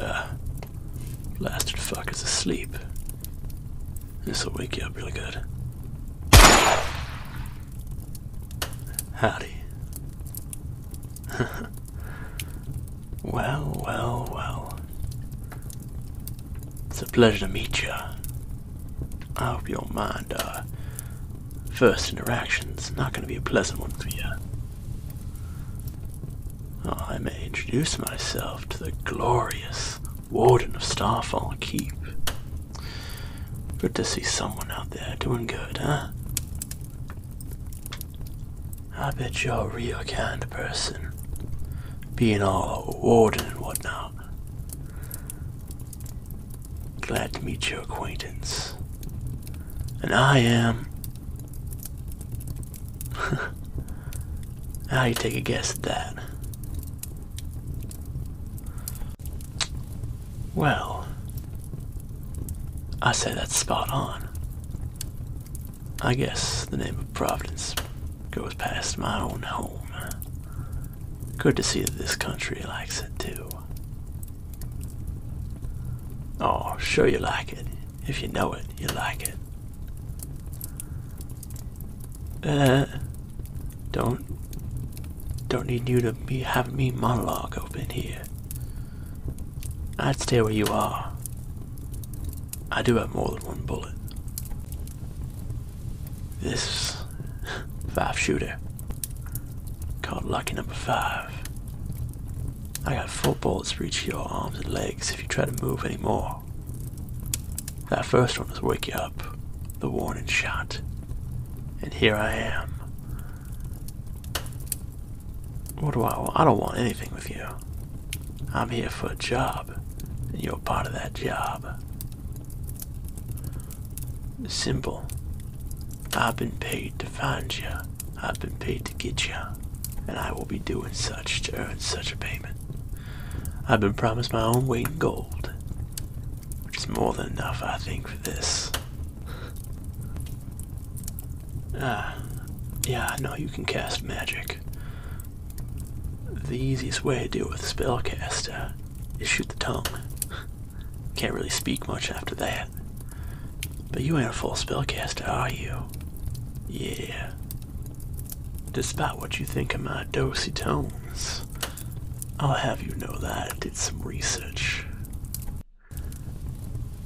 Ah, blasted fuck is asleep. This'll wake you up really good. Howdy. Well, well, well. It's a pleasure to meet you. I hope you don't mind. our uh, first interaction. interaction's not going to be a pleasant one for you. Oh, I may introduce myself to the glorious Warden of Starfall Keep. Good to see someone out there doing good, huh? I bet you're a real kind of person. Being all a warden and whatnot. Glad to meet your acquaintance. And I am. How you take a guess at that? Well, I say that's spot on. I guess the name of Providence goes past my own home. Good to see that this country likes it too. Oh, sure you like it. If you know it, you like it. Uh, don't, don't need you to be having me monologue open here. I'd stay where you are. I do have more than one bullet. This five shooter, called Lucky Number Five. I got four bullets for each of your arms and legs if you try to move any more. That first one was wake you up, the warning shot. And here I am, what do I want? I don't want anything with you. I'm here for a job, and you're part of that job. Simple. I've been paid to find you. I've been paid to get you. And I will be doing such to earn such a payment. I've been promised my own weight in gold. Which is more than enough, I think, for this. Ah, yeah, no, you can cast magic. The easiest way to deal with a spellcaster is shoot the tongue. Can't really speak much after that. But you ain't a full spellcaster, are you? Yeah. Despite what you think of my dosy tones, I'll have you know that I did some research.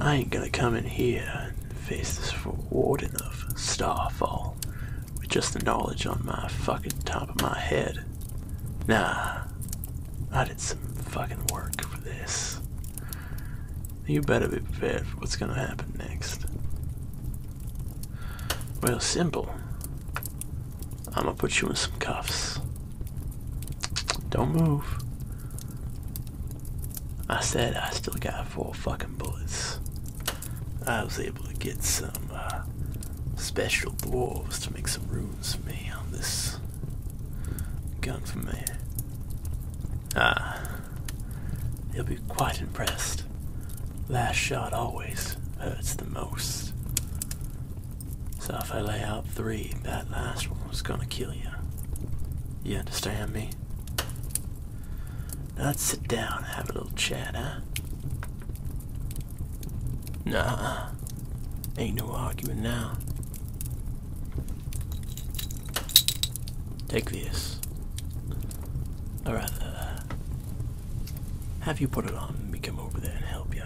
I ain't gonna come in here and face this warden of Starfall with just the knowledge on my fucking top of my head. Nah, I did some fucking work for this. You better be prepared for what's gonna happen next. Well, simple. I'm gonna put you in some cuffs. Don't move. I said I still got four fucking bullets. I was able to get some uh, special dwarves to make some runes for me on this gun for me. Ah, he will be quite impressed. Last shot always hurts the most. So if I lay out three, that last one was gonna kill you. You understand me? Now let's sit down and have a little chat, huh? Nah, ain't no arguing now. Take this. Or uh, have you put it on and me come over there and help you?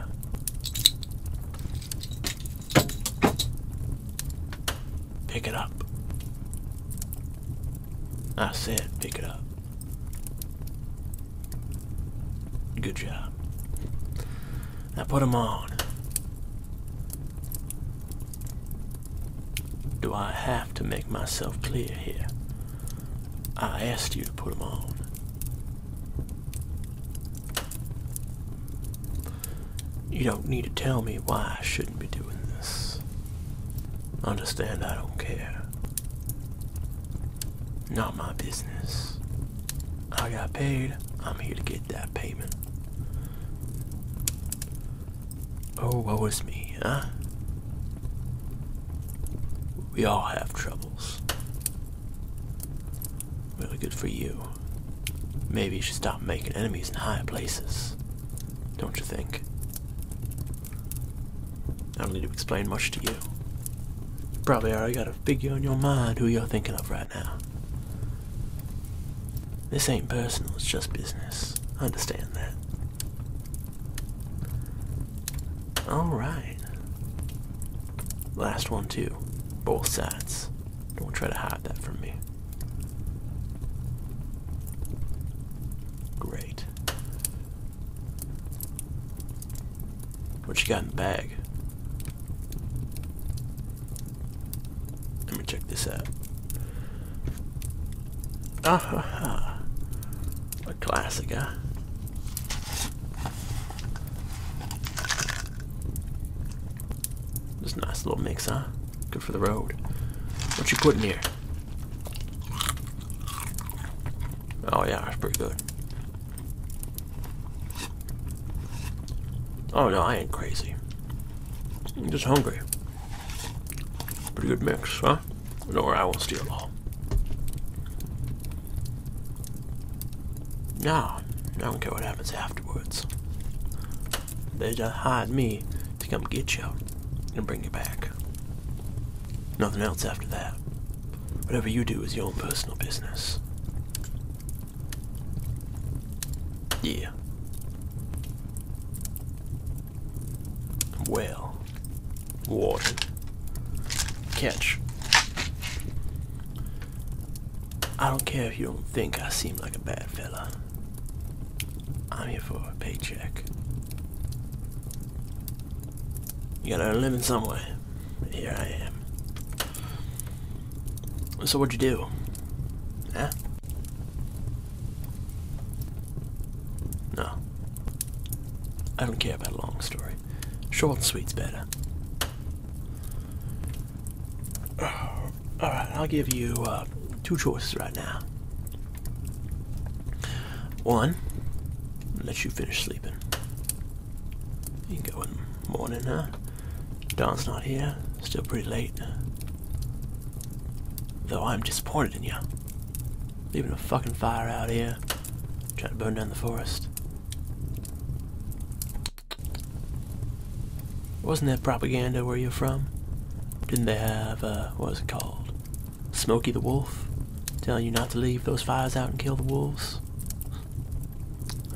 Pick it up. I said pick it up. Good job. Now put them on. Do I have to make myself clear here? I asked you to put them on. You don't need to tell me why I shouldn't be doing this. Understand, I don't care. Not my business. I got paid. I'm here to get that payment. Oh, woe is me, huh? We all have troubles. Really good for you. Maybe you should stop making enemies in higher places. Don't you think? I don't need to explain much to you. You probably already got a figure in your mind who you're thinking of right now. This ain't personal, it's just business. I understand that. Alright. Last one, too. Both sides. Don't try to hide that from me. Great. What you got in the bag? Let me check this out. Ah ha ha. A classic, huh? Just nice little mix, huh? Good for the road. What you putting here? Oh yeah, that's pretty good. Oh no, I ain't crazy. I'm just hungry. Pretty good mix, huh? Nor I will steal all. Nah, I don't care what happens afterwards. They just hired me to come get you and bring you back. Nothing else after that. Whatever you do is your own personal business. Yeah. Well, water. Catch. I don't care if you don't think I seem like a bad fella. I'm here for a paycheck. You gotta live in living somewhere. Here I am. So what'd you do? Huh? No. I don't care about a long story. Short and sweet's better. Alright, I'll give you uh, two choices right now. One, let you finish sleeping. You can go in the morning, huh? Don's not here, still pretty late. Though I'm disappointed in you. Leaving a fucking fire out here. Trying to burn down the forest. Wasn't that propaganda where you're from? Didn't they have, uh, what was it called? Smoky the Wolf? Telling you not to leave those fires out and kill the wolves?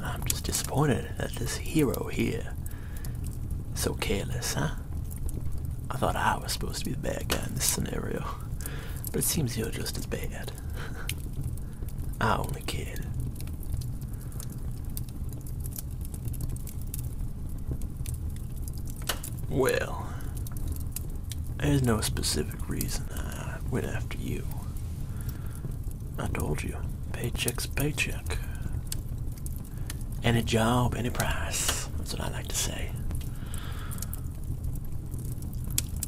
I'm just disappointed that this hero here so careless, huh? I thought I was supposed to be the bad guy in this scenario, but it seems you're just as bad. I only kid. Well, there's no specific reason I went after you. I told you, paycheck's paycheck. Any job, any price. That's what I like to say.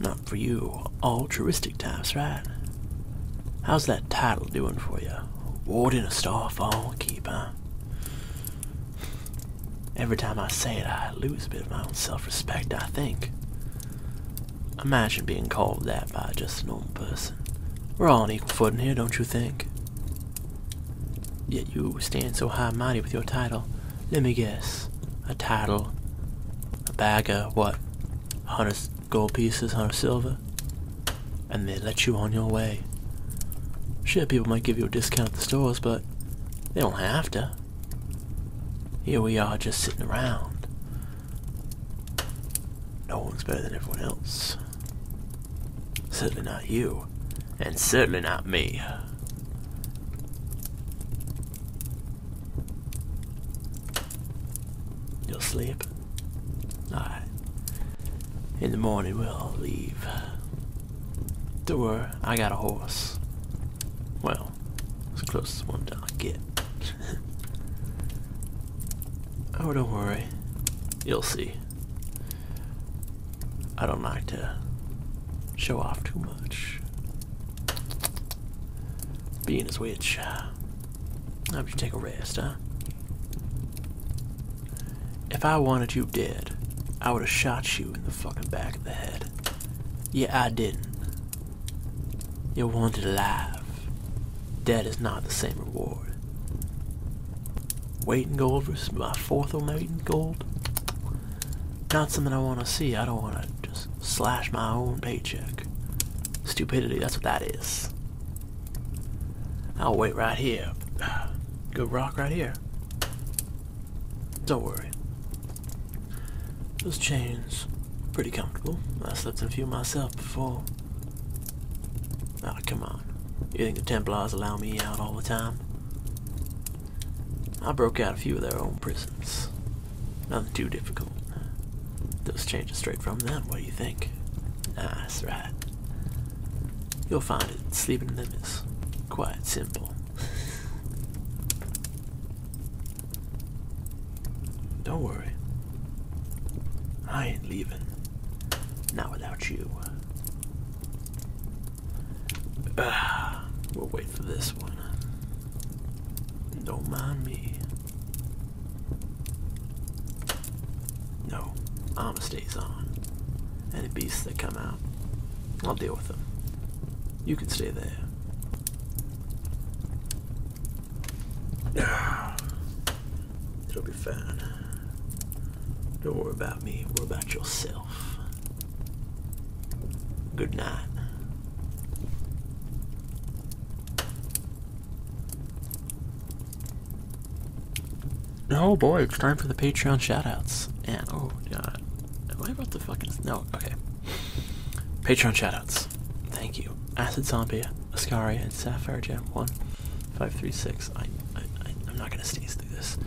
Not for you altruistic types, right? How's that title doing for you? Warden of Starfall Keep, huh? Every time I say it, I lose a bit of my own self-respect, I think. Imagine being called that by just a normal person. We're all on equal footing here, don't you think? Yet you stand so high and mighty with your title. Let me guess. A title. A bagger, what? A hundred gold pieces, hundred silver? And they let you on your way. Sure, people might give you a discount at the stores, but they don't have to. Here we are just sitting around. No one's better than everyone else. Certainly not you, and certainly not me. You'll sleep? Alright. In the morning we'll leave. Don't worry, I got a horse. Well, it's the closest one that I get. Oh, don't worry. You'll see. I don't like to show off too much. Being a witch. I hope you take a rest, huh? If I wanted you dead, I would have shot you in the fucking back of the head. Yeah, I didn't. You wanted to alive alive. Dead is not the same reward. Weight in gold versus my fourth on weight in gold. Not something I want to see. I don't want to just slash my own paycheck. Stupidity, that's what that is. I'll wait right here. Good rock right here. Don't worry. Those chains pretty comfortable. I slept in a few myself before. Oh, come on. You think the Templars allow me out all the time? I broke out a few of their own prisons. Nothing too difficult. Those changes straight from them, what do you think? Ah, that's right. You'll find it. Sleeping them is quite simple. Don't worry. I ain't leaving. Not without you. Uh, we'll wait for this one. Don't mind me. No, armor stays on. Any beasts that come out, I'll deal with them. You can stay there. It'll be fine. Don't worry about me, worry about yourself. Good night. Oh boy, it's time for the Patreon shoutouts. And oh god. Am I about to fucking no, okay. Patreon shoutouts. Thank you. Acid Zombie, Ascaria, and Sapphire Gem 1536. I, I, I, am not going to sneeze through this.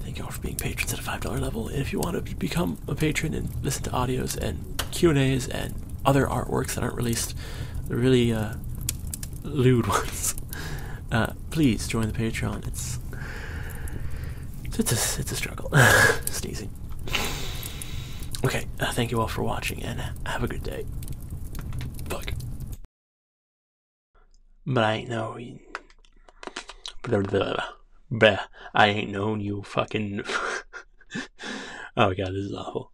Thank you all for being patrons at a $5 level. And if you want to become a patron and listen to audios and Q&As and other artworks that aren't released, the really uh, lewd ones, uh, please join the Patreon. It's, it's, a, it's a struggle. Sneezing. Okay, uh, thank you all for watching, and uh, have a good day. Fuck. But I ain't know. Blah, blah, blah, I ain't known you fucking. oh my god, this is awful.